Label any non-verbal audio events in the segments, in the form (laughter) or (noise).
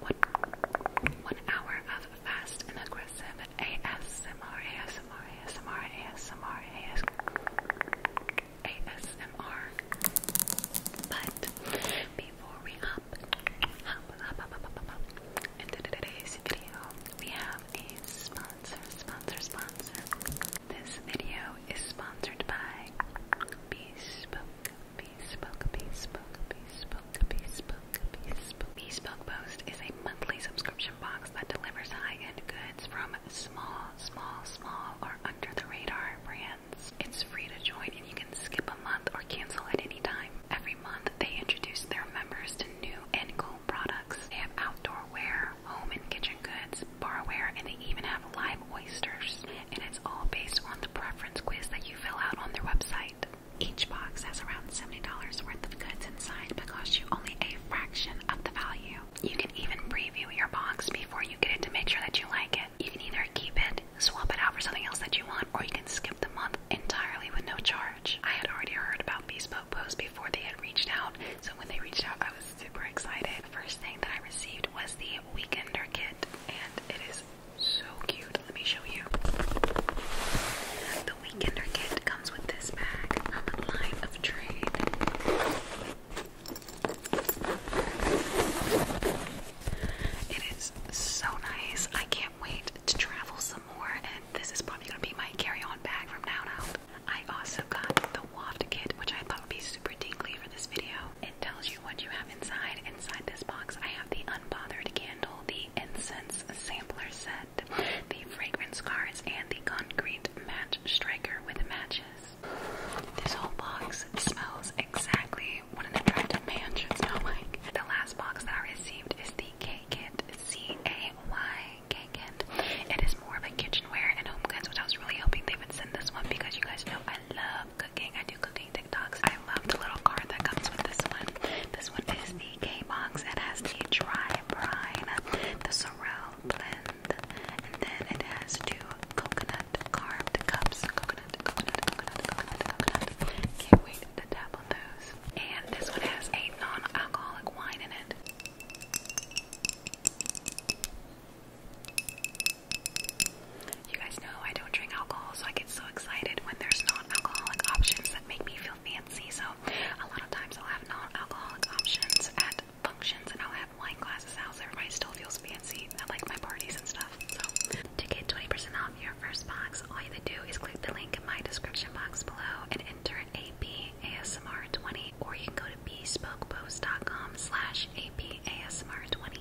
one, one hour of fast and aggressive ASMR, ASMR, ASMR, ASMR, ASMR, ASMR. But before we hop into today's video, we have a sponsor, sponsor, sponsor. This video is sponsored by Bespoke Bespoke, Bespoke, Bespoke, Bespoke, Bespoke. Bespoke Post is a monthly subscription box that delivers high-end goods from small, small, small, or under-the-radar brands. It's free to join and you can skip a month or cancel at any time. Every month, they introduce their members to new and cool products. They have outdoor wear, home and kitchen goods, barware, and they even have live oysters. And it's all based on the preference quiz that you fill out on their website. Each box has around $70 worth of goods inside but cost you only a fraction of the value. You can even preview your box before you get it to make sure that you like it. You can either keep it, swap it out for something else that you want, or you can skip the month entirely with no charge. I had already heard about Bespoke Post before they had reached out, so when they reached out, I was super excited. The first thing that I received was the Weekender kit, and it is so cute. Let me show you. The Weekender kit comes with this bag from um, Line of Trade. It is so nice. I can't wait to travel some more, and this is probably going to be my carry-on bag from now on I also got the waft kit, which I thought would be super dingly for this video. It tells what you have inside. Inside this box, I have the Unbothered Candle, the Incense Sampler Set, the Fragrance Cards, and the Concrete Match Striker with matches. This whole box smells exactly what an attractive man should smell like. The last box that I received is the K-Kit, C-A-Y K-Kit. It is more of a kitchenware and home goods, which I was really hoping they would send this one because you guys know I love cooking. I do cooking I love the little card that comes with this one. This one is the K box. It has the dry brine, the sorrel blend, and then it has two coconut carved cups. Coconut, coconut, coconut, coconut, Can't wait to tap on those. And this one has a non-alcoholic wine in it. You guys know I don't drink alcohol, so I get so excited when there's non-alcoholic options that make me feel fancy. So a lot of times I'll have non-alcoholic options at functions, and I'll have wine glasses out, so everybody still feels fancy at like my parties and stuff. So to get 20% off your first box, all you have to do is click the link in my description box below and enter AP ASMR 20, or you can go to bespokepose.com slash APASMR 20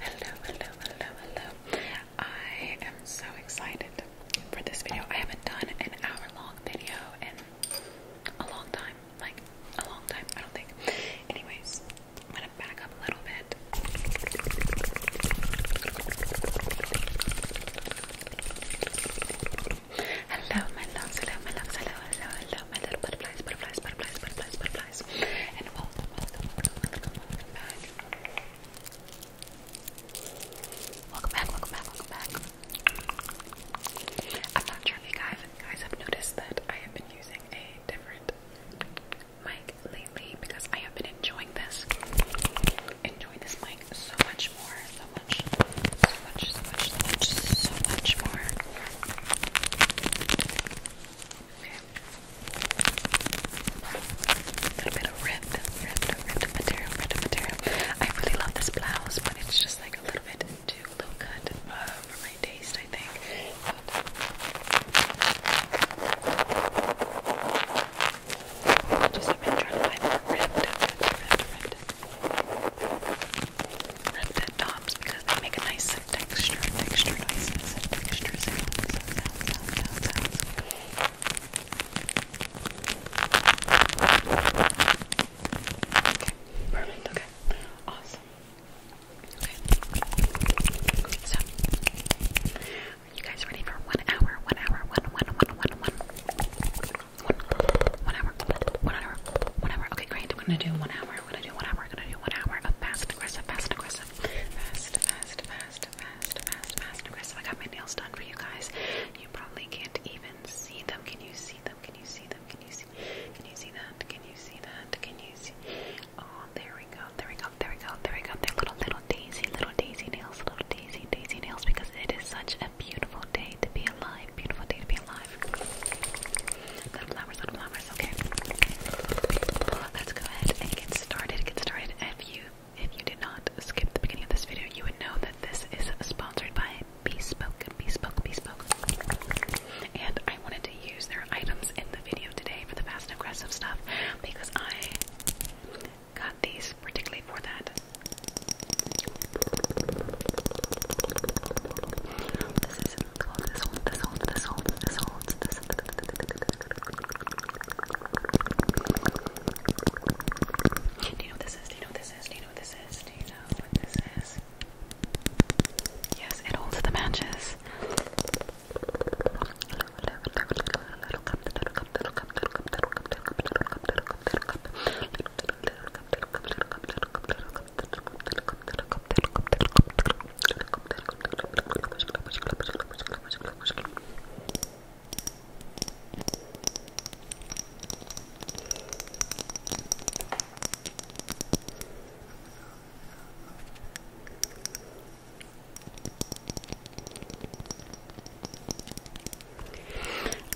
Hello, hello, hello, hello. I am so excited for this video. I haven't done an hour long video in a long time. Like, a long time, I don't think. Anyways, I'm gonna back up a little bit. Hello, my loves, hello, my loves, hello, hello, hello, my little butterflies, butterflies, butterflies, butterflies, butterflies welcome, welcome, welcome, welcome, welcome back. Welcome back, welcome back, welcome back. I'm not sure if you guys, guys have noticed that I have been using a different mic lately because I have been enjoying this. Enjoying this mic so much more, so much, so much, so much, so much more. A little bit of ripped, ripped, ripped material, ripped material. I really love this blouse, but it's just like a little bit too low cut uh, for my taste, I think. just trying to find more ripped, ripped, ripped, ripped, ripped tops because they make a nice noises and texture, texture noises and texture sounds, sounds, sounds, sounds, sounds, sounds. Okay, perfect, okay, awesome. Okay, so, are you guys ready for one hour, one hour, one, one, one, one, one? One, one hour, one hour, one hour. Okay, great. I'm gonna do one hour. I'm gonna do one hour. I'm gonna do one hour of fast, aggressive, fast, aggressive, fast, fast, fast, fast, fast, fast, fast, aggressive. I got my nails done for you guys. You probably can't even see them. Can you see them? Can you see them? Can you see? Can you see that? Can you see that? Can you see? Oh, there we go. There we go. There we go. There we go. They're little, little daisy, little daisy nails, little daisy, daisy nails. Because it is such a beautiful day to be alive. Beautiful day to be alive. Little flowers, little flowers, okay? let's go ahead and get started. Get started. If you if you did not skip the beginning of this video, you would know that this is sponsored by Bespoke, Bespoke, Bespoke. And I wanted to use their items in the video today for the fast and aggressive stuff because I got these particularly for that. This is this holds, this holds, this holds, this holds, this holds, do you know what this is? Do you know what this is? Do you know what this is? Do you know what this is? Yes, it holds the matches.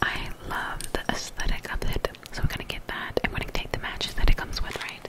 I love the aesthetic of it, so I'm gonna get that. I'm gonna take the matches that it comes with, right?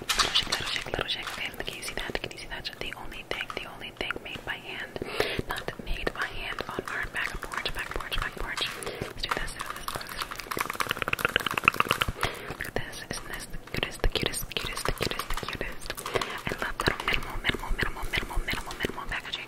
Little Roshakla, little roshakla. Okay, look, can you see that? Can you see that? The only thing, the only thing made by hand. Not made by hand on our back porch, back porch, back porch. let do this. Look at this. Isn't this the cutest, the cutest, the cutest, the cutest, the cutest? I love that minimal, minimal, minimal, minimal, minimal, minimal packaging.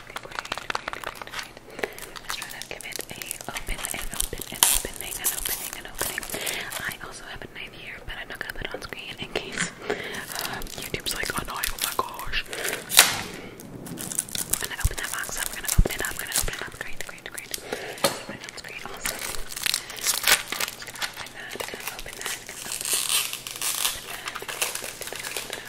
Let's try to give it a open and opening and opening and opening. I also have a knife here, but I'm not gonna put it on screen in case YouTube's like, annoying. no, oh my gosh. We're gonna open that box up, we gonna open it up, we gonna open it up. Great, great, great. Open it on screen, awesome. Open that, open that, open that. Open that. Open Open that.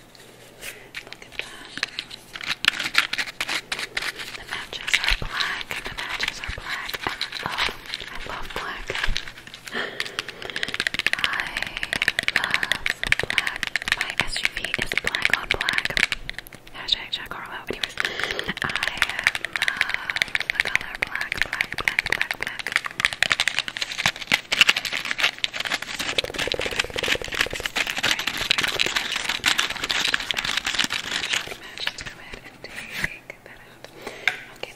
Look at that. The matches are black. The matches are black. I love, I love black. I love black. My SUV is black on black. Hashtag Anyways, I love the black, black, black, black, black. Let's go ahead and take that out. Okay, and we're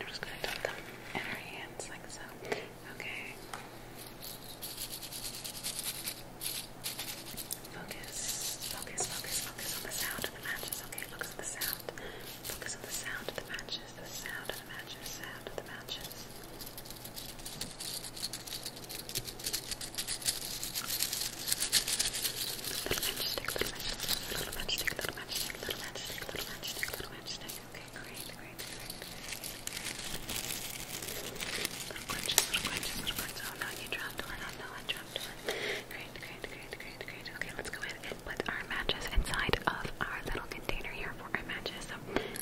just going to dump them in our hands like so. Okay. Focus, focus, focus, focus on the sound of the matches. Okay, focus on the sound. Focus on the sound of the matches. The sound of the matches. Sound of the matches. Little matchstick, little matchstick, little matchstick, little matchstick, little matchstick, little matchstick, Okay, great, great, great. Little crunches, little crunches, little crunches. Oh no, you dropped one. Oh no, I dropped one. Great, great, great, great, great. Okay, let's go ahead and put our matches inside of our little container here for our matches. So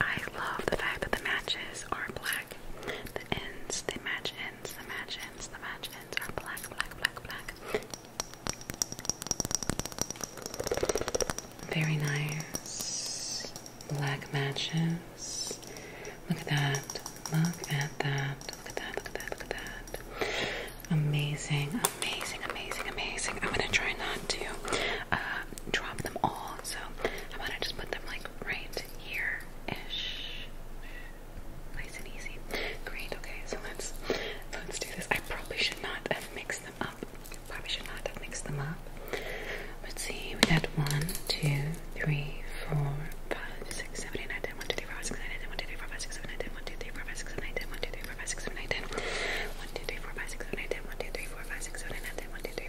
I love the fact that the matches are black. The ends, the match ends, the match ends, the match ends are black, black, black, black. Very nice. Black matches. Look at that. Look at that. Look at that. Look at that. Look at that. Amazing. Amazing. Amazing. Amazing. I'm gonna try not to uh, drop them all, so I'm gonna just put them like right here-ish. Nice and easy. Great, okay, so let's let's do this. I probably should not have mixed them up. Probably should not have mixed them up. Let's see, we got one, two, three, four, five, six, seven, eight, nine, ten, one, two, three, four, five, six, nine, ten, one, two, three, four, five, six, seven, eight, ten, one, two, three, four, five, six, seven, eight, ten, one, two, three, four, five, six, seven, eight, ten, one, two, three, four, five, six, seven, eight, ten, one, two, three, four, five, six, seven, eight, ten, one, two, three, four, five, six, seven, eight, ten, one, two, three,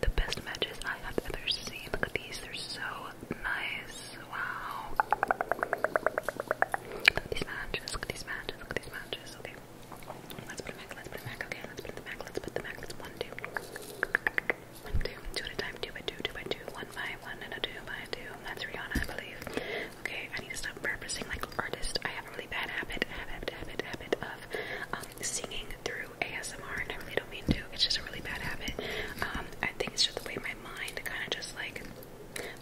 the best matches I have ever seen. Look at these, they're so nice. Wow. Look at these matches, look at these matches, look at these matches. Okay. Let's put them back, let's put them back. Okay, let's put them back, let's put them back. Let's one, two. One, two, two at a time, two by two, two by two, one by one, and a two by two. That's Rihanna, I believe. Okay, I need to stop purposing like artist. I have a really bad habit, habit, habit, habit of um, singing through ASMR, and I really really mean to. It's just a really bad habit. Um, I think it's just the way my mind kind of just like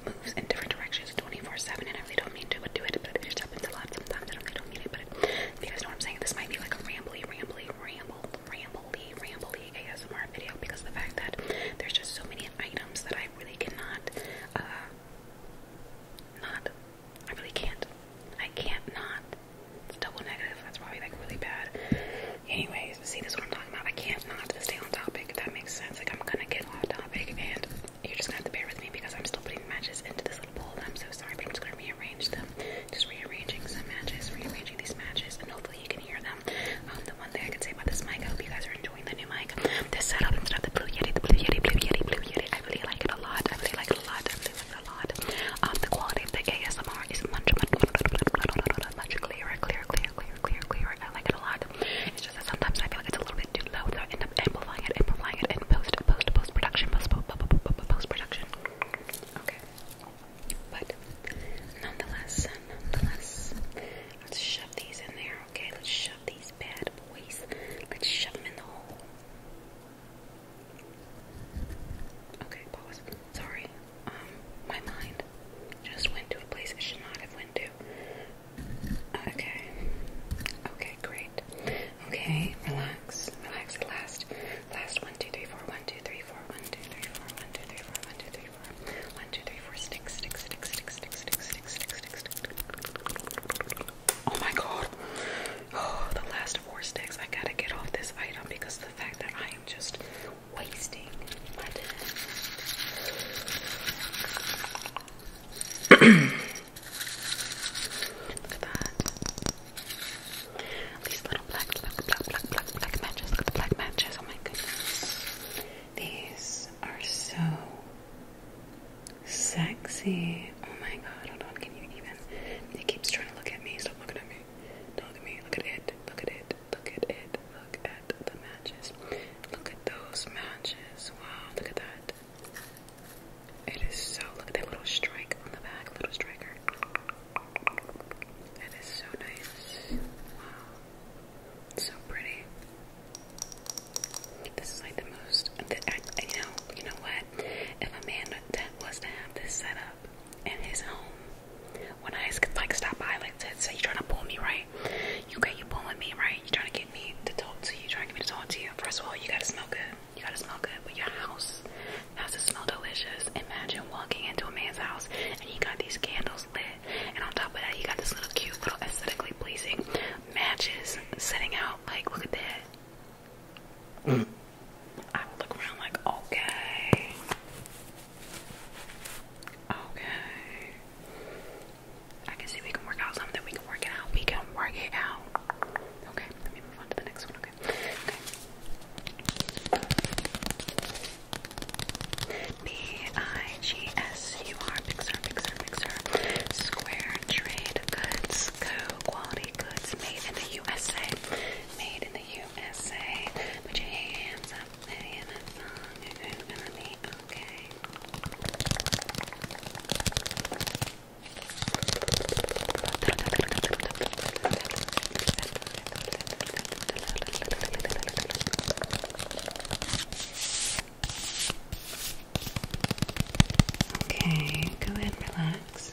moves in different directions 24/7, and I really don't mean to, but do it. But it just happens a lot sometimes. I don't really don't mean it, but if you guys know what I'm saying, this might be like a rambley, rambley, ramble, rambley, rambly ASMR video because of the fact that there's just so many items that I really cannot. Uh, not, I really can't. I can't not it's double negative. That's probably like really bad. Anyways, see, this is what I'm talking about. I can't not stay on topic. If that makes sense. Like I'm gonna get off topic, and you're just gonna have to bear with me because I'm still putting matches into this little bowl. And I'm so sorry, but I'm just gonna rearrange them. Just rearranging some matches, rearranging these matches, and hopefully you can hear them. Um, the one thing I can say about this mic, I hope you guys are enjoying the new mic, this setup and stuff. The Blue Yeti, the Blue Yeti, Blue Yeti, Blue Yeti. I really like it a lot. I really like it a lot this a lot. Um, the quality of the ASMR is much, much, much, clearer, clearer, clearer, clearer, clearer, I like it a lot. It's just that sometimes I feel like it's a little bit too low, so I end up amplifying it, amplifying it, and post, post, post production, post, post, post production. Okay, but nonetheless, nonetheless, let's shove these in there. Okay, let's shove these bad boys. Let's shove them in the hole. Okay, pause. Sorry. Um, my mind just went to a place it should not have went to. Okay. Okay, great. Okay, relax. Relax at last. Last one, two, three, four, one, two, three, four, one, two, three, four, one, two, three, four, one, two, three, four, one, two, three, four, stick, stick, stick, stick, stick, stick, stick, stick, stick, stick. Oh my god. Oh, the last four sticks. I gotta get off this item because the fact that I am just wasting my dinner. These little black, black, black, black, black, black matches. Look at the black matches. Oh my goodness. These are so sexy. Oh my god, hold on, can you even? He keeps trying to look at me. Stop looking at me. Look at me. Look at it. Look at it. Look at it. Look at the matches. Look at those matches. Wow, look at that. It is so. Look at that little strike on the back, little striker. That is so nice. Wow. So pretty. This is like the most. you know, you know what? If a man was to have this set up, up in his home. When I like stop by, like said, so you trying to pull me, right? You okay, you pulling me, right? You trying to get me to talk to you, trying to get me to talk to you. First of all, you gotta smell good. You gotta smell good, but your house has to smell delicious. Imagine walking into a man's house and he got these candles lit, and on top of that, he got this little cute, little aesthetically pleasing matches setting out. Like, look at that. I look around like, okay. Okay. I can see we can work out something. We can work it out. We can work it out. Okay, let me move on to the next one. Okay. Okay. B-I-G-S-U-R, Pixar, Pixar, Pixar. Square trade goods, co quality goods made in the USA made in the USA. Put your hands up, play in that song. You're gonna be okay. Okay, go ahead relax.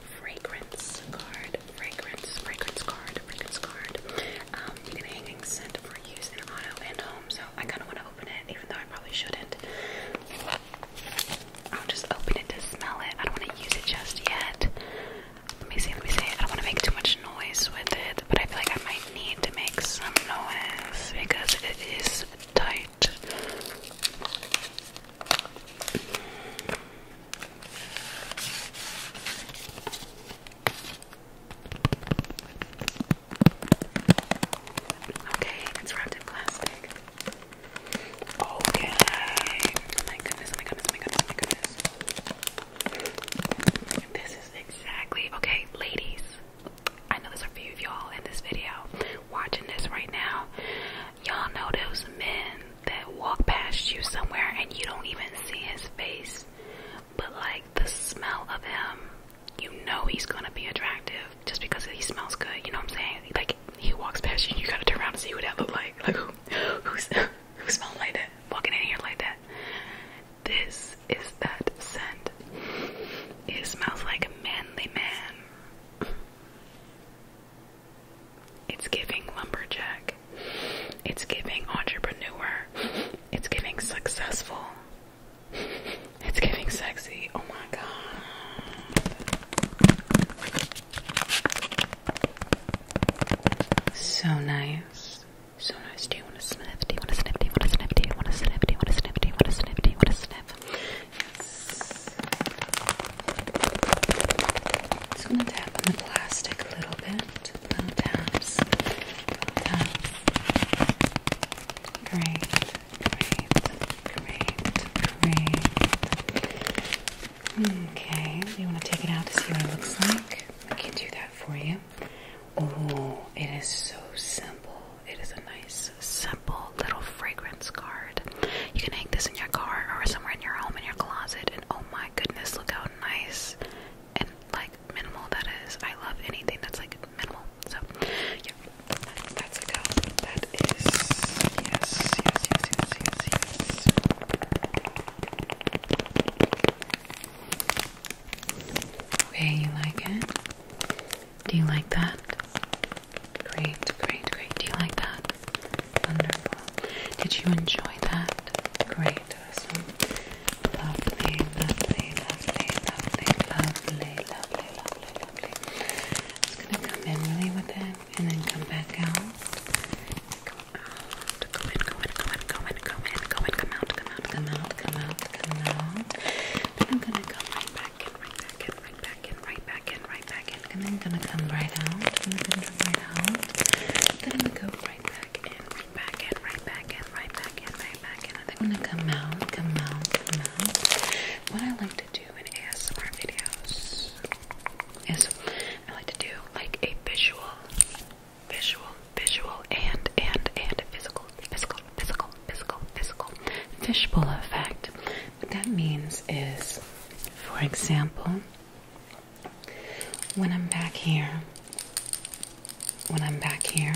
fragrance card, fragrance, fragrance card, fragrance card. Um, you can hang and scent for use in auto and home. So I kind of want to open it, even though I probably shouldn't. I'll just open it to smell it. I don't want to use it just yet. Let me see. Let me see. I don't want to make too much noise with it, but I feel like I might need to make some noise because it is tight. Okay, it's wrapped in plastic. Okay. Oh, my goodness, my goodness, my goodness, my goodness. This is exactly okay, ladies. I know there's a few of y'all in this video watching this right now. Y'all know those men that walk past you somewhere and you don't even see his face, but like the smell of him, you know he's gonna be attractive just because he smells good. You know what I'm saying? Like he walks past you, and you gotta turn around and see who that look like. Like who, who's who smells like that? Walking in here like that. This is that scent. It smells like a manly man. It's giving lumberjack. It's giving entrepreneur. It's giving successful. It's giving sexy. Oh my god. So nice. So nice. Do you want to sniff? Do you want to sniff? Do you want to sniff? Do you want to sniff? Do you want to sniff? Do you want to sniff? Do you want to sniff? Yes. Just gonna tap on the plastic a little bit left, little taps, Great, great, great, great. Okay, you want to take it out to see what it looks like? I can do that for you. Oh, it is so simple. It is a nice, simple little fragrance card. You can hang this in your car or somewhere in your home in your closet, and oh my my goodness, look how nice and like minimal that is. I love anything that's like minimal. So yeah, that's a go. That is yes, yes, yes, yes, yes, yes. Okay, you like it? Do you like that? Great, great, great. Do you like that? Did you enjoy that? Great, Lovely, lovely, lovely, lovely, lovely, lovely, lovely, lovely. It's gonna come in really with it and then come back out. Come in, come in, come in, come in, come in, come in, come out, come out, come out, come out, come out. Then I'm gonna come right back in, right back in, right back in, right back in, right back in, and then gonna come right out. gonna come right out. Then go right right back in, right back in, right back in, right back in, I think I'm gonna come out, come out, come out. What I like to do in ASMR videos is I like to do like a visual, visual, visual, and and and physical, physical, physical, physical, physical fishbowl effect. What that means is, for example, when I'm back here, when I'm back here,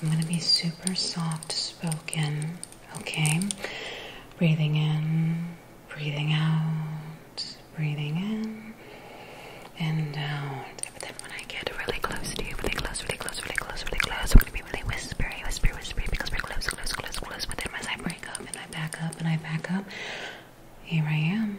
I'm going to be super soft spoken, okay? Breathing in, breathing out, breathing in, and down. But then when I get really close to you, really close, really close, really close, really close, I'm going to be really whispery, whispery, whispery, because we're close, close, close, close. But then as I break up and I back up and I back up, here I am.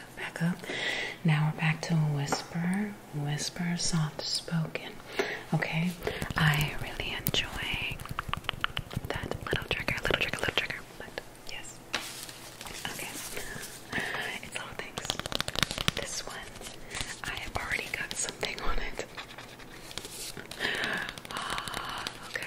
back up, Now we're back to a whisper, whisper, soft spoken. Okay, I really enjoy that little trigger, little trigger, little trigger. But yes, okay, it's all things. This one, I have already got something on it. Ah, okay.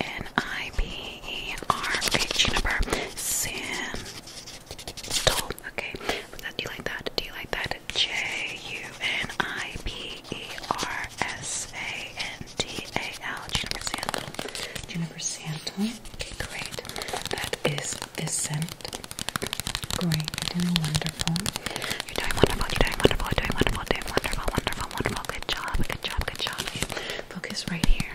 N I B E R. Okay, juniper. Sam. Stole. Okay, that, do you like that? Do you like that? J U N I B E R S A N D A L. Juniper sandal. Juniper sandal. Okay, great. That is this scent. Great, wonderful. You're doing wonderful, you're doing wonderful, you're doing wonderful, doing wonderful, wonderful, wonderful. Good job, good job, good job. Focus right here.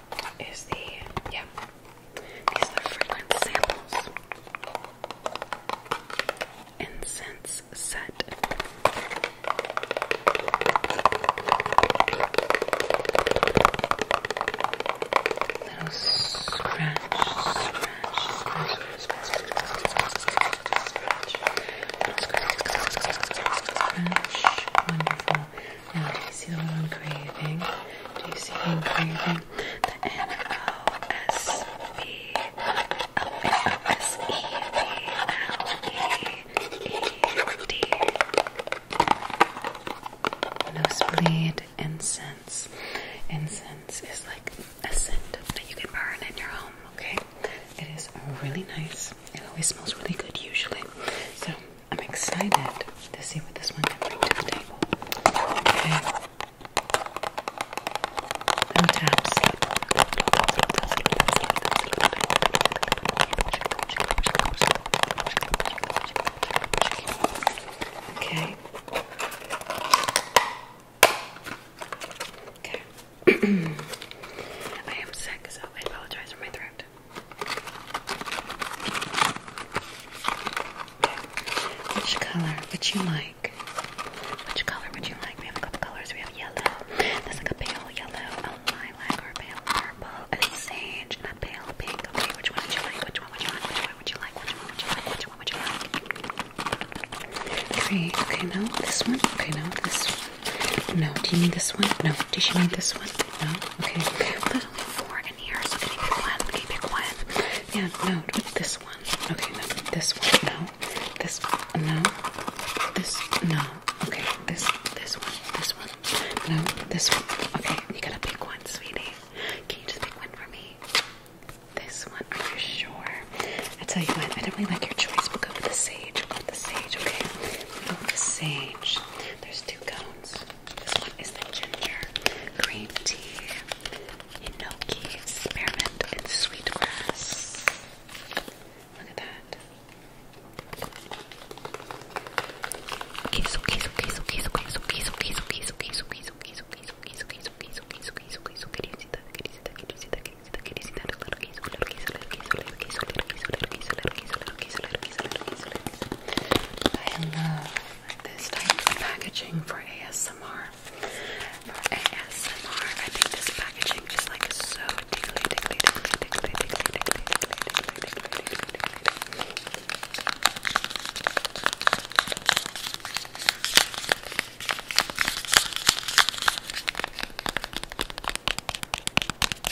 is the yeah. These are the samples. Incense set. Little scratch, scratch, scratch, scratch, scratch, scratch, scratch, scratch. Wonderful do you see the one I'm craving? Do you see the i craving? The N O S B O N O S E B L E E D. Nosebleed incense. Incense is like a scent that you can burn in your home, okay? It is really nice. It always smells really good, usually. So, I'm excited to see what this one can bring to the table. Okay. No taps. Okay. Okay. (clears throat) I am sick, so I apologize for my throat. Which color would you like? Which color would you like? We have a couple colors. We have yellow. There's like a pale yellow, a lilac, or a pale purple, a sage, and a pale pink. Okay, which one would you like? Which one would you like? Which one would you like? Which one would you Which one would you like? Okay, okay, no, this one. Okay, no, this one. No, do you need this one? No, does you need this one? No? Okay. There's only four in here, so can you pick one? Can you pick one? Yeah, no, this one. Okay, no, this one, no. This one, no. This, no. Okay, this, this one, this one. No, this one. Okay, you gotta pick one, sweetie. Can you just pick one for me? This one, are you sure? I tell you what, I don't really like your choice. We'll go with the sage. We'll go with the sage, okay? We'll go with the sage. There's two gum. This one is the ginger, green tea, enoki, spearmint, and sweet grass. Look at that. I love this type of packaging for ASMR. For ASMR, I think this packaging just like so Okay.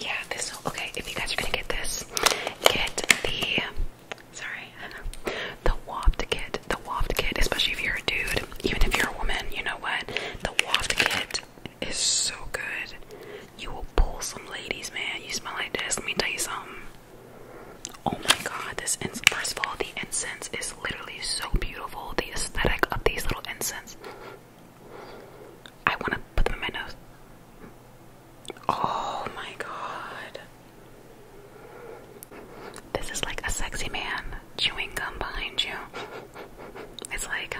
Yeah, this, okay, if you guys are gonna get this, get the, sorry, (laughs) the waft kit, the waft kit, especially if you're a dude, even if you're a woman, you know what, the waft kit is so good. You will pull some ladies, man, you smell like this, let me tell you something. Oh my god, this First of all, the incense is literally so beautiful. The aesthetic of these little incense. I want to put them in my nose. Oh my god. This is like a sexy man chewing gum behind you. It's like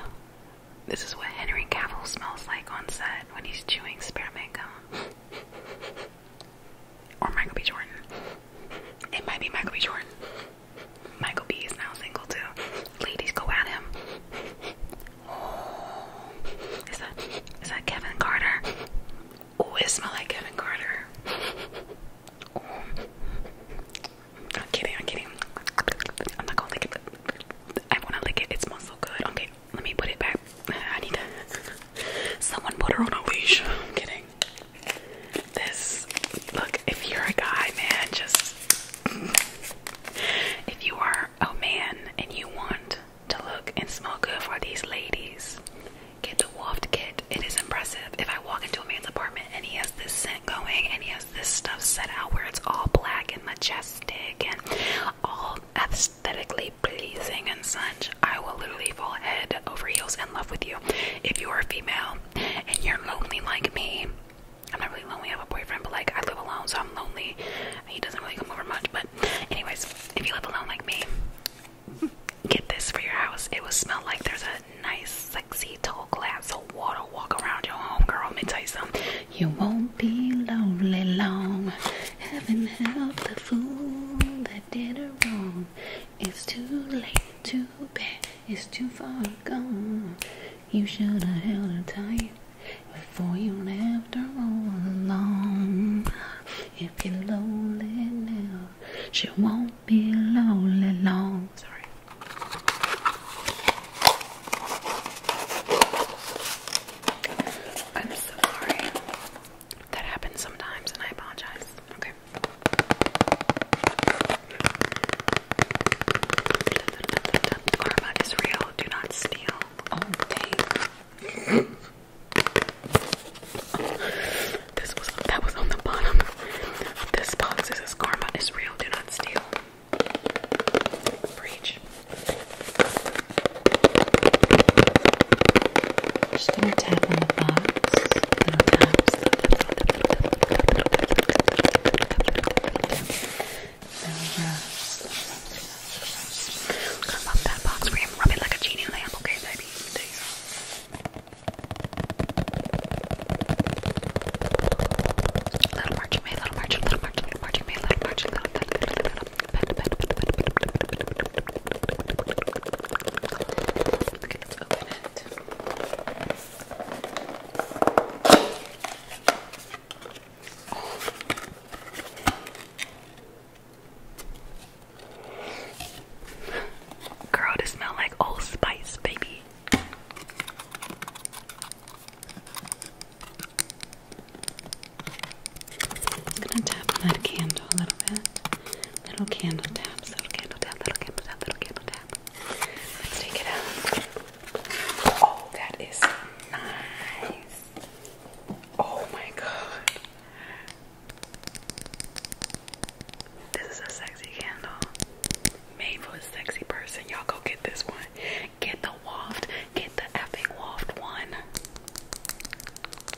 this is what Henry Cavill smells like on set when he's chewing spearmint gum. Or Michael B. Jordan. It might be Michael B. Jordan. Michael B. is now single too. Ladies, go at him. Oh, is that is that Kevin Carter? Oh, it smells like Kevin Carter. I'm kidding. I'm kidding. I'm not gonna lick it. I wanna lick it. It smells so good. Okay. Let me put it back. I need to. Someone put her on a leash. I'm kidding. This. Look, if you're a guy, man, just. If you are a man and you want to look and smell good for these ladies, get the Wolfed Kit. It is impressive. If I walk into a man's apartment and he has this scent going and he has this stuff set out where it's all black and majestic and all aesthetically pleasing and such, I will literally fall head over heels in love with you. If you are a female and you're lonely like me, I'm not really lonely, I have a boyfriend, but like I live alone, so I'm lonely. He doesn't really come over much, but anyways, if you live alone like me, get this for your house. It will smell like there's a nice, sexy, tall glass of water walk around your home, girl. Let me tell you something. You won't be lonely long. Heaven help the fool I did her wrong. It's too late, too bad, it's too far gone. You should have held her tight before you left her all alone. If you're lonely now, she won't be lonely long. Sorry. I'm sorry. That happens sometimes, and I apologize. Okay. Karma is real. Do not steal. Oh, dang. this was that was on the bottom. This box is karma is real. Do not steal. Breach. Just gonna tap on the box. Little taps. I'm gonna pop that box for you. Rub it like a genie lamp, okay, baby? There you go. Little marching man, little marching, little marching, little marching man, little marching, little, little, little, little, little, Girl, it smell like Old Spice, baby. I'm gonna tap on that candle a little bit. Little candle tap, little candle tap, little candle tap, little candle tap. Let's take it out. Oh, that is nice. Oh my god. This is a sexy candle. Made for a sexy person. Y'all go get this one. Get the waft. Get the effing waft one.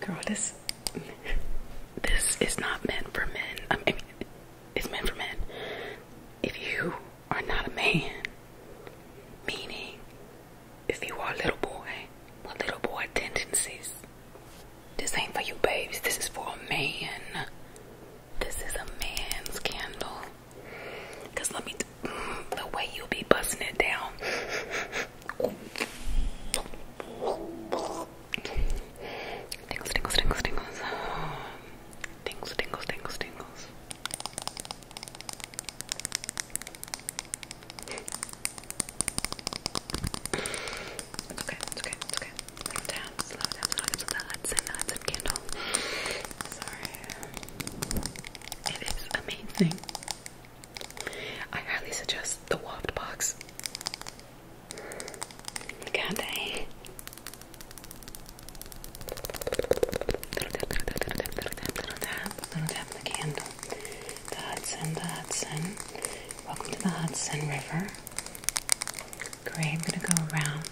Girl, this this is not meant for men. I mean, it's meant for men. If you are not a man, meaning if you are a little boy with little boy tendencies, this ain't for you babes. This is for a man. This is a man's candle. Cause let me, mm, the way you be busting it down. Tingles, tingles, tingles, tingles. Tingles, tingles, tingles, tingles. okay, okay, okay. Slow down, slow down, slow down. So the Hudson, Hudson candle. Sorry. It is amazing. I highly suggest the Waft box. Can't they? Little tap, little tap, little tap, little tap, little tap the candle. The Hudson, the Hudson. Welcome to the Hudson River. Great, I'm gonna go around.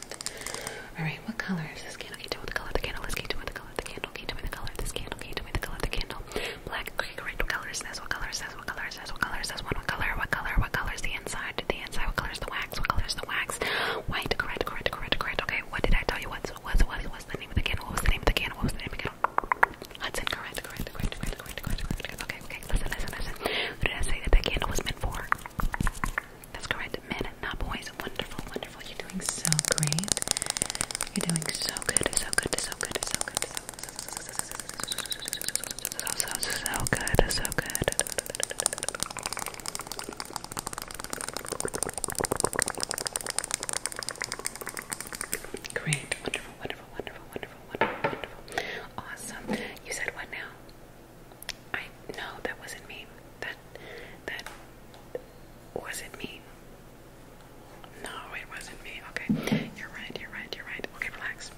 Alright, what color is this candle? Can you tell me the color of the candle? Let's can you tell me the color of the candle? Can you tell me the color of this candle? Can you tell me the color of the candle? Black, okay, great. What colors? That's what colors. That's what colors. That's what colors. That's one. What color? What color? What color is the inside? The inside. What color is the wax? What color is the wax? White. Correct. Correct. Correct. Correct. Okay. What did I tell you? What's what's what's what's the name of the can? What was the name of the can? What was the name of the can? Hudson. Correct. Correct. Correct. Correct. Correct. Correct. correct. Okay. Okay. Listen. Listen. Listen. Who did I say that the candle was meant for? That's correct. Men, not boys. Wonderful. Wonderful. You're doing so great. You're doing so good. So good. So good. So good. So so, so, so good, so good. Great, wonderful, wonderful, wonderful, wonderful, wonderful, wonderful. Awesome. You said what now? I no, that wasn't me. That that wasn't me. No, it wasn't me. Okay. You're right, you're right, you're right. Okay, relax.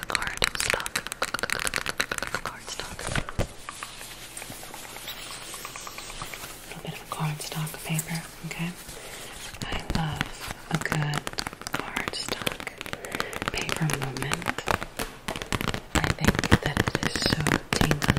card stock. Card stock. A bit of cardstock paper, okay? I love a good cardstock paper moment. I think that it is so tingly.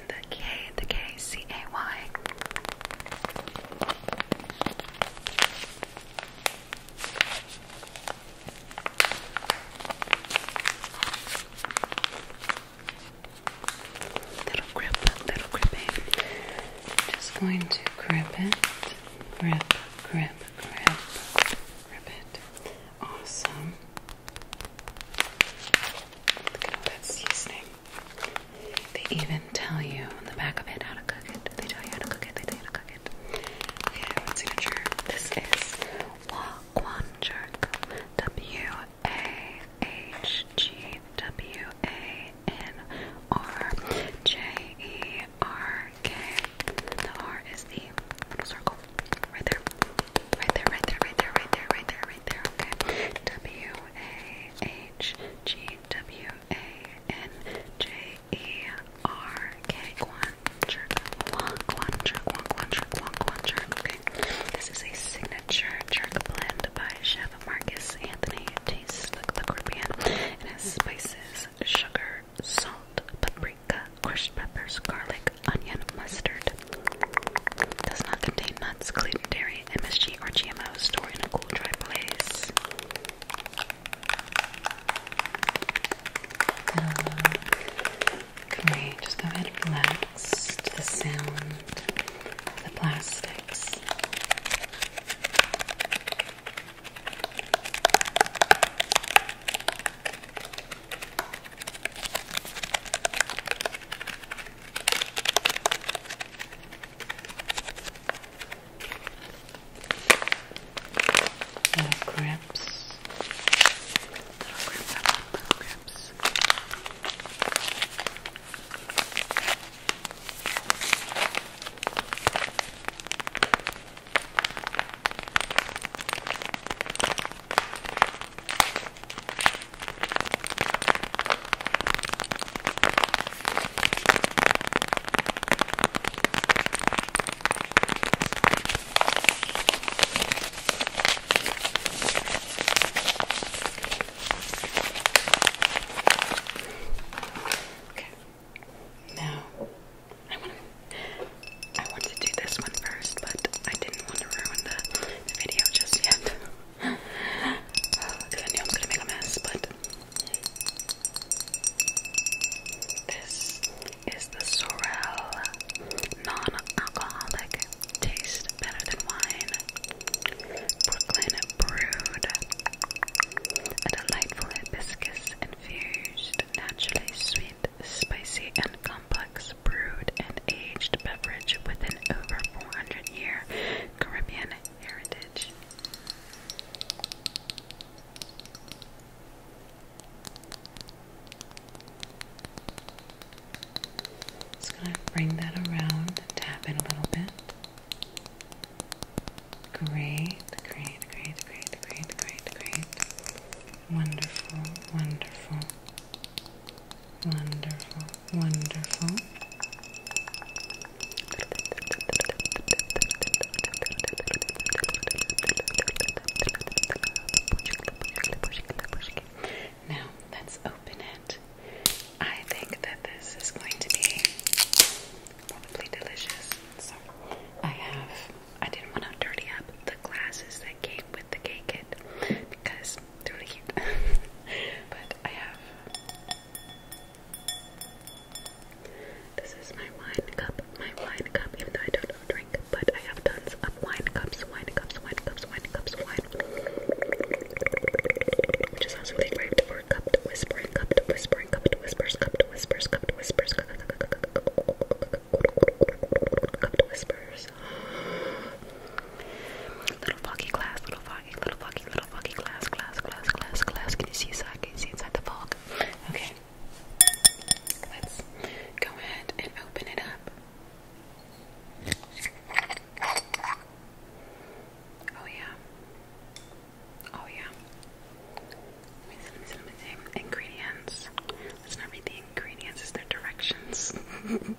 the K, the K, C A Y. Little grip, little gripping. Just going to grip it, grip, grip, grip, grip it. Awesome. Look at that seasoning. They even tell you on the back of it how to cook it. They tell you how to cook it. They tell you how to cook it. Okay, signature. This is Wagwan Jerk. W A H G W A N R J E R K. The R is the circle right there. Right there, right there, right there, right there, right there, right there. Okay. W A H G W A N J E R K Quancher. Quancher, Quancher, Quancher, Okay. This is a signature jerk blend by Chef Marcus Anthony. tastes like the It has spices, sugar, salt, paprika, crushed peppers, garlic, onion, mustard, does not contain nuts, gluten, dairy, MSG, or GMOs. Store in a cool, dry place. Can uh, just go ahead and relax to the sound the plastics? Little grips. Little grips, I love little grips. Okay. Now I want to do this one first, but I didn't want to ruin the video just yet. (laughs) I knew I was gonna make a mess, but this is the Sorrel non-alcoholic taste better than wine. Brooklyn brewed. A delightful hibiscus infused, naturally sweet, spicy, and complex brewed and aged beverage with an over 400 year Caribbean heritage. Just going to bring that around tap it a little bit. Great, great, great, great, great, great, great. Wonderful, wonderful. Wonderful, wonderful. Now let's open it. I think that this is going to be probably delicious. So I have I didn't want to dirty up the glasses that came with the cake kit because they're really (laughs) but I have this is my wine cup, my wine cup, even though I don't drink, but I have tons of wine cups, wine cups, wine cups, wine cups, wine. Which is also really great cupped whispering, cupped whispering, cupped whispers, cupped whispers, cupped whispers. Cupped whispers glass. Little foggy glass, little foggy, little foggy, little foggy glass, glass, glass, glass, glass. Can you see inside? Can you see inside the fog? Okay. Let's go ahead and open it up. Oh yeah. Oh yeah. Let me see, let me see, let me see. Ingredients. Let's not read the ingredients, it's their directions. (laughs)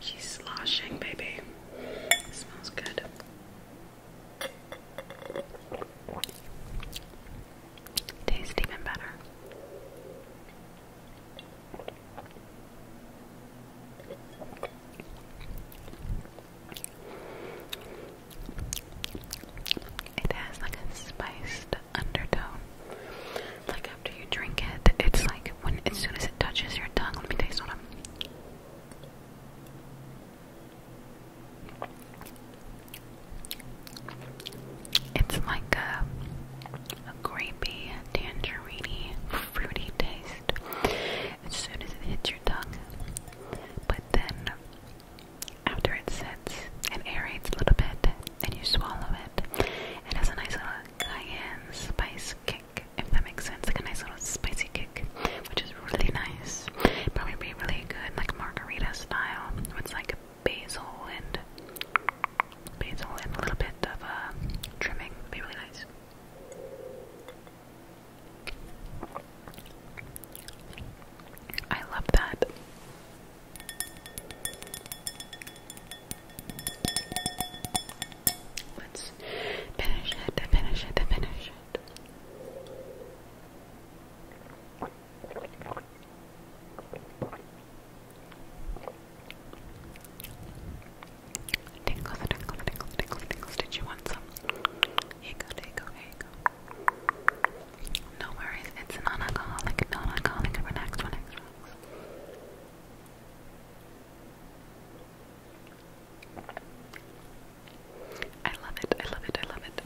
She's sloshing, baby. smells good. Tastes even better. It has like a spiced undertone. Like after you drink it, it's like when as soon as it touches your tongue. Let me taste what it's like a a grapey, tangerine, fruity taste as soon as it hits your tongue. But then after it sits, and aerates a little bit and you swallow it. It has a nice little cayenne spice kick if that makes sense. Like a nice little spicy kick, which is really nice. Probably be really good, like margarita style, with like basil and basil and a little bit of a uh, trimming. Be really nice. I love that. Let's finish it, finish it, finish it. Tinkles, tinkles, tinkles, tinkles, tinkles. Did you want some? Here you go, No worries, it's non-alcoholic, non-alcoholic. relax, relax. I love it, I love it, I love it.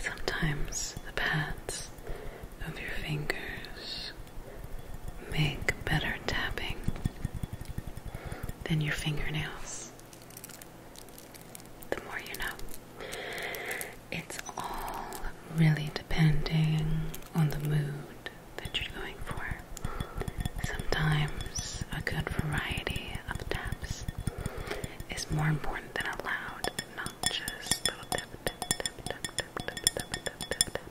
Sometimes the pads of your fingers make better tapping than your fingernails. The more you know. It's all really depending on the mood that you're going for. Sometimes a good variety of taps is more important than a loud, obnoxious little tap tap tap tap tap tap tap tap tap.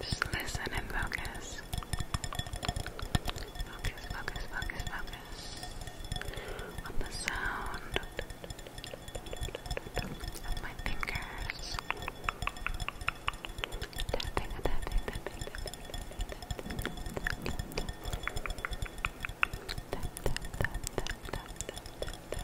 Just listen and focus. Focus, focus, focus, focus on the sound of my fingers. Tapping, tapping, tapping, tapping, tapping, tapping. Tap, tap, tap, tap, tap, tap, tap, tap.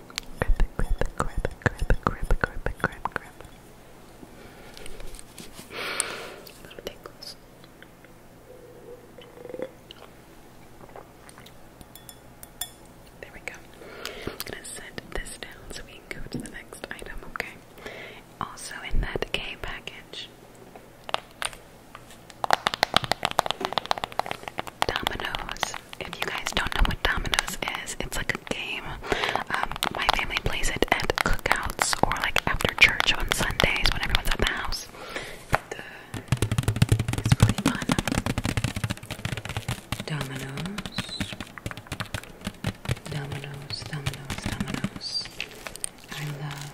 Grip it, grip it, grip it, grip it, There we go. I'm gonna set this down so we can go to the next item, okay? Also in that K package. Dominoes. If you guys don't know what Dominoes is, it's like a game. Um, my family plays it at cookouts or like after church on Sundays when everyone's at the house. it's really fun. Dominoes. Dominoes, dominoes, dominoes. I love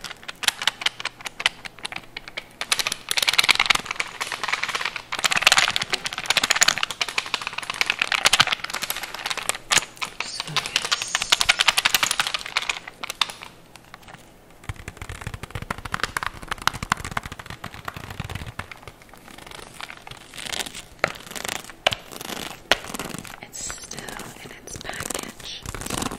just focus. It's still in its package, so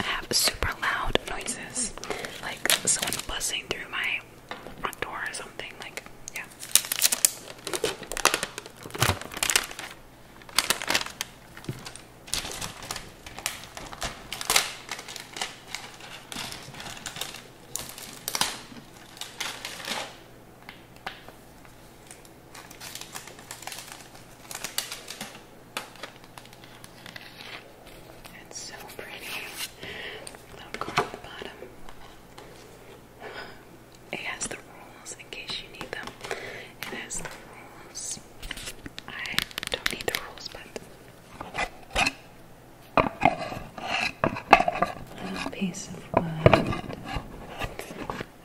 have super loud noises, like someone buzzing through my front door or something. Like, yeah. It's so pretty. Little card the bottom. It has the rules in case you need them. It has the rules. I don't need the rules, but a piece of wood.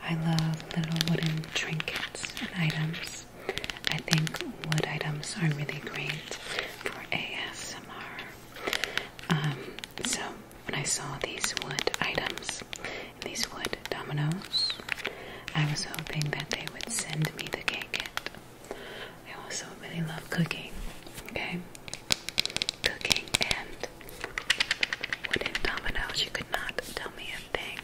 I love little wooden trinkets and items. I think wood items are really great for ASMR. Um, so when I saw these wood items, these wood dominoes, I was hoping that they would send me the cake kit. I also really love cooking, okay? Cooking and wooden dominoes, you could not tell me a thing.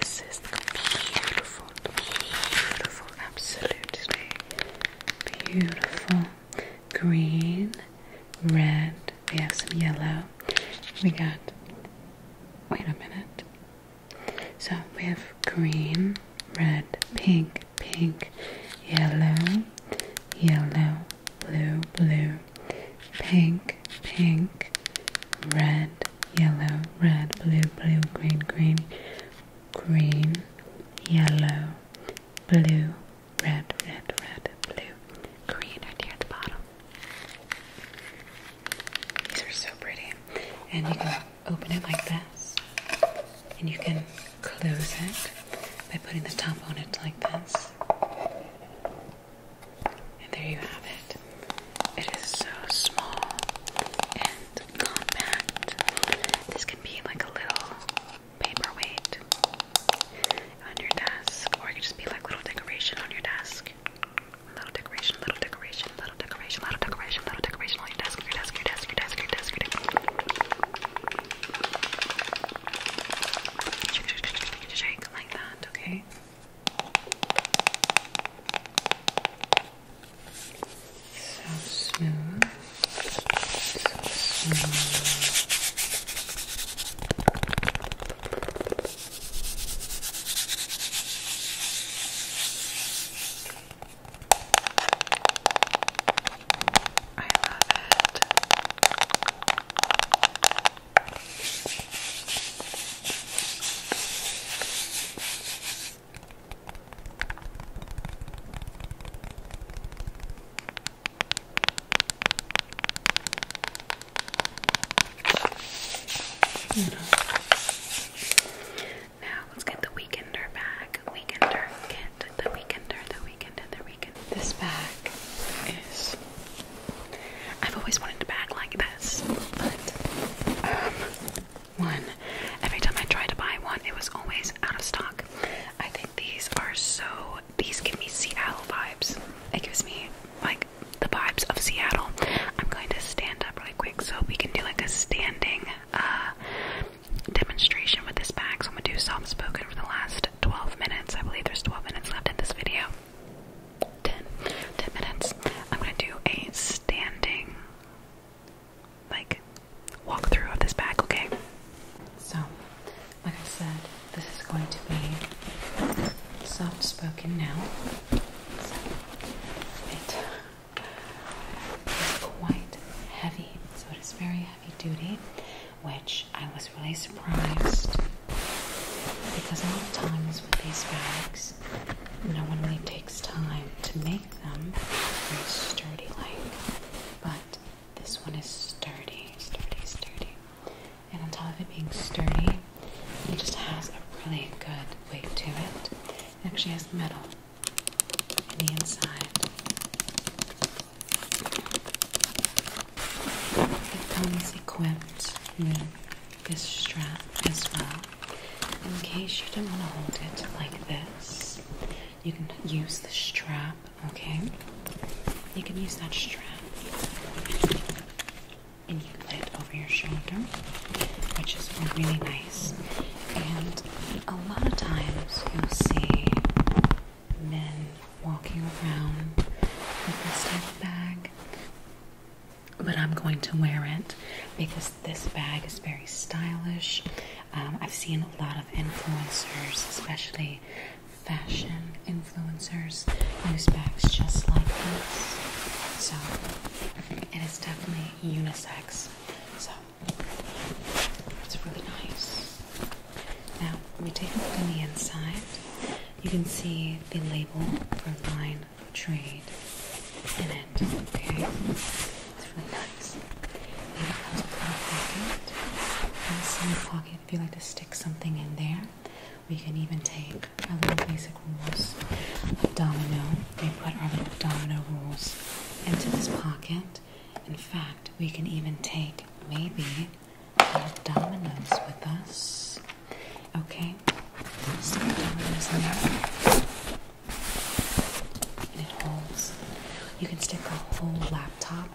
This is beautiful, beautiful, absolutely beautiful. Green, red, we have some yellow. We got, wait a minute. So we have green, red, pink, pink, yellow, yellow, blue, blue, pink, pink, red, yellow, red, blue, blue, green, green, green, yellow, blue, red, red, red, blue, green right here at the bottom. These are so pretty. And you can open it like this, and you can close it by putting the top on it like this. And there you have it. It is so small and compact. This can be like a little paperweight on your desk, or it could just be like little decoration on your desk. Little decoration, little decoration, little decoration, little decoration, little decoration on your desk, your desk, your desk, your desk, your desk. Your desk you to shake like that, okay? So smooth. So smooth. I love it. Mm -hmm. Now let's get the weekender back. Weekender kit. The weekender. The weekender. The weekender. This bag is. I've always wanted a bag like this, but um, one. Every time I tried to buy one, it was always out of stock. I think these are so. These give me Seattle vibes. It gives me like the vibes of Seattle. I'm going to stand up really quick so we can do like a standing uh, demonstration with this bag. So I'm gonna do soft spoken for the last 12 minutes. I believe there's 12 minutes left in this video. 10, minutes. I'm gonna do a standing like walkthrough of this bag, okay? So, like I said, this is going to be soft spoken now. it is quite heavy, so it is very heavy duty which I was really surprised because a lot of times with these bags, no one really takes time to make them very sturdy like. But this one is sturdy, sturdy, sturdy. And on top of it being sturdy, it just has a really good weight to it. It actually has metal in the inside. It comes equipped with this strap as well. In case you don't want to hold it like this, you can use the strap, okay? You can use that strap and you can put it over your shoulder, which is really nice. And a lot of times you'll see men walking around with this type of bag. But I'm going to wear it because this bag is very stylish. Um, I've seen a lot of influencers, especially fashion influencers, use bags just like this. So it is definitely unisex. So it's really nice. Now we take a look on the inside you can see the label for Line of Trade in it. Okay, it's really nice. And it a little pocket. Inside the pocket, if you like to stick something in there, we can even take our little basic rules of domino. We put our little domino rules into this pocket. In fact, we can even take maybe dominoes with us. Okay, there's our dominoes in there. And it holds. You can stick a whole laptop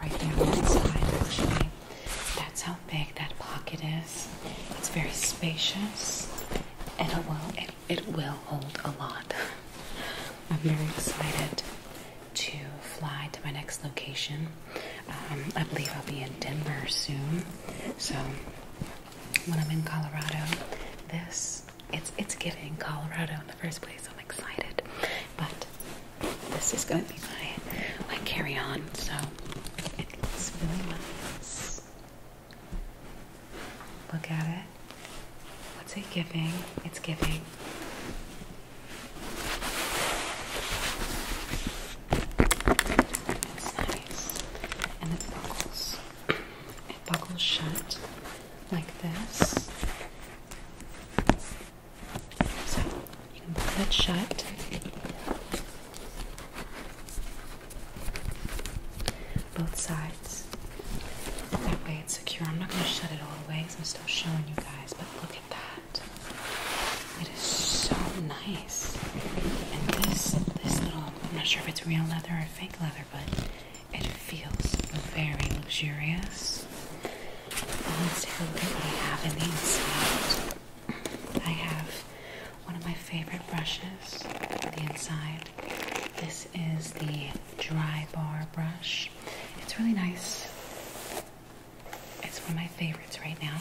right there inside, actually. That's how big that pocket is. It's very spacious and it will it, it will hold a lot. (laughs) I'm very excited to fly to my next location. Um, I believe I'll be in Denver soon. So when I'm in Colorado, this it's it's giving Colorado in the first place. I'm excited, but this is going to be my my carry on. So it looks really nice. Look at it. What's it giving? It's giving it's nice. And it buckles. It buckles shut like this. So you can buckle it shut. Both sides. That way it's secure. I'm not going to shut it all the way because I'm still showing you guys, but look at that. It is so nice. And this this little I'm not sure if it's real leather or fake leather, but it feels very luxurious. And let's take a look at what I have in the inside. I have one of my favorite brushes on the inside. This is the dry bar brush. It's really nice. It's one of my favorites right now.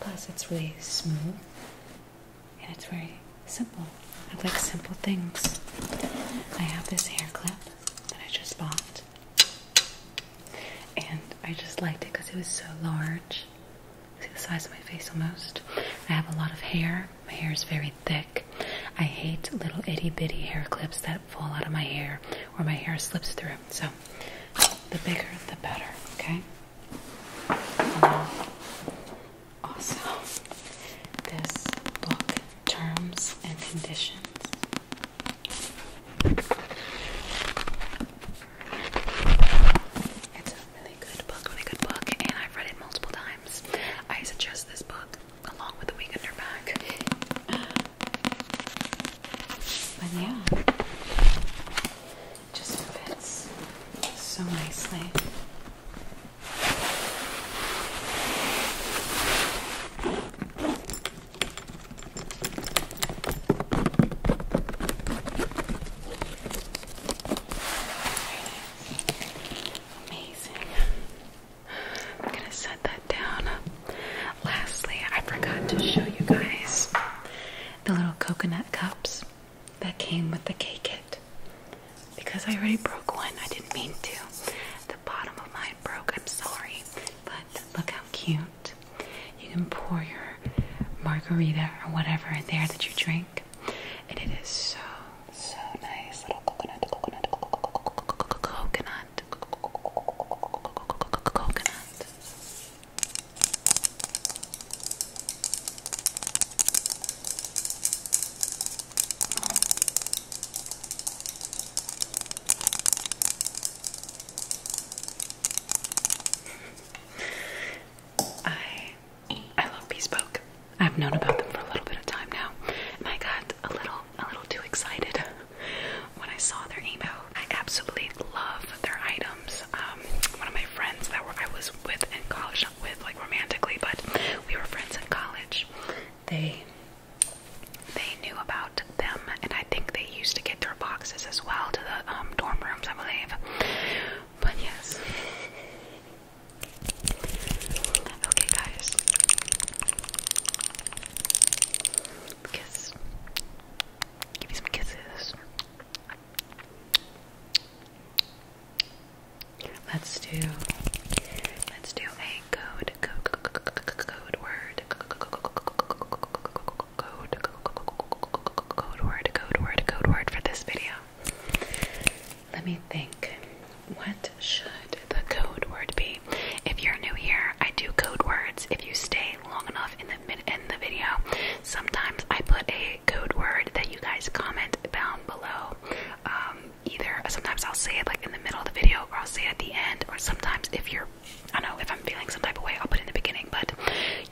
Plus, it's really smooth and it's very simple. I like simple things. I have this hair clip that I just bought, and I just liked it because it was so large. See the size of my face almost. I have a lot of hair. My hair is very thick. I hate little itty bitty hair clips that fall out of my hair or my hair slips through. So the bigger the better, okay? Um, this book, Terms and Conditions. It's a really good book, really good book, and I've read it multiple times. I suggest this book along with The Weekender Back. But yeah, it just fits so nicely. Amazing. I'm going to set that down. Lastly, I forgot to show you guys the little coconut cups that came with the K kit. Because I already broke one, I didn't mean to. The bottom of mine broke, I'm sorry. But look how cute. You can pour your margarita or whatever in there that you drink. And it is so, so nice. Little coconut, coconut, coconut, coconut, coconut. I I love Bespoke. I've known about them for a little bit of time now, and I got a little a little too excited when I saw their email I absolutely love their items. Um, one of my friends that were, I was with in college, not with like romantically, but we were friends in college. They they knew about them, and I think they used to get their boxes as well to the um, dorm rooms, I believe. But yes. Okay, guys. Kiss. Give me some kisses. Let's do let's do a code code code, code word code code word code word code word for this video. Let me think. What should the code word be? If you're new here, I do code words. If you stay, stay long enough in the mid in the video. Sometimes I put a code word that you guys comment down below. Um, either sometimes I'll say it like in the middle of the video, or I'll say it at the end, or sometimes if you're, I don't know, if I'm feeling some type of way, I'll put it in the beginning. But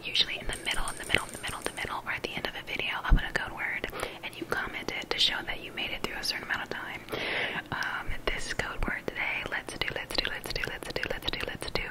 usually in the middle, in the middle, in the middle, in the middle, or at the end of a video, I'll put a code word, and you comment it to show that you made it through a certain amount of time. Um, this code word today. Let's do. Let's do. Let's do. Let's do. Let's do. Let's do. Let's do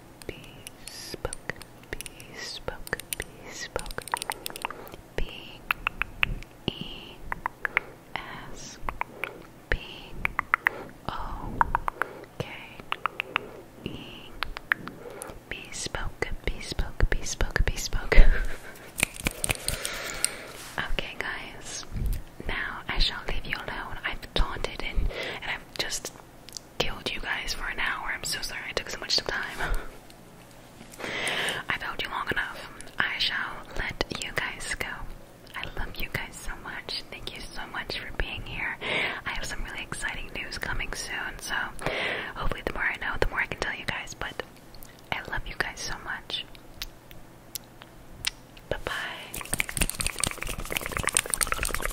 bespoke, bespoke, bespoke. B E S B O K E bespoke, bespoke, bespoke, bespoke. okay, guys. Now I shall leave you alone. I've taunted and and I've just killed you guys for an hour. I'm so sorry I took so much time. (laughs) I've held you long enough. I shall let you guys go. I love you guys so much. Thank you so much for being here. I have some really exciting news coming soon, so hopefully, the more I know, the more I can tell you guys. But I love you guys so much. Bye bye.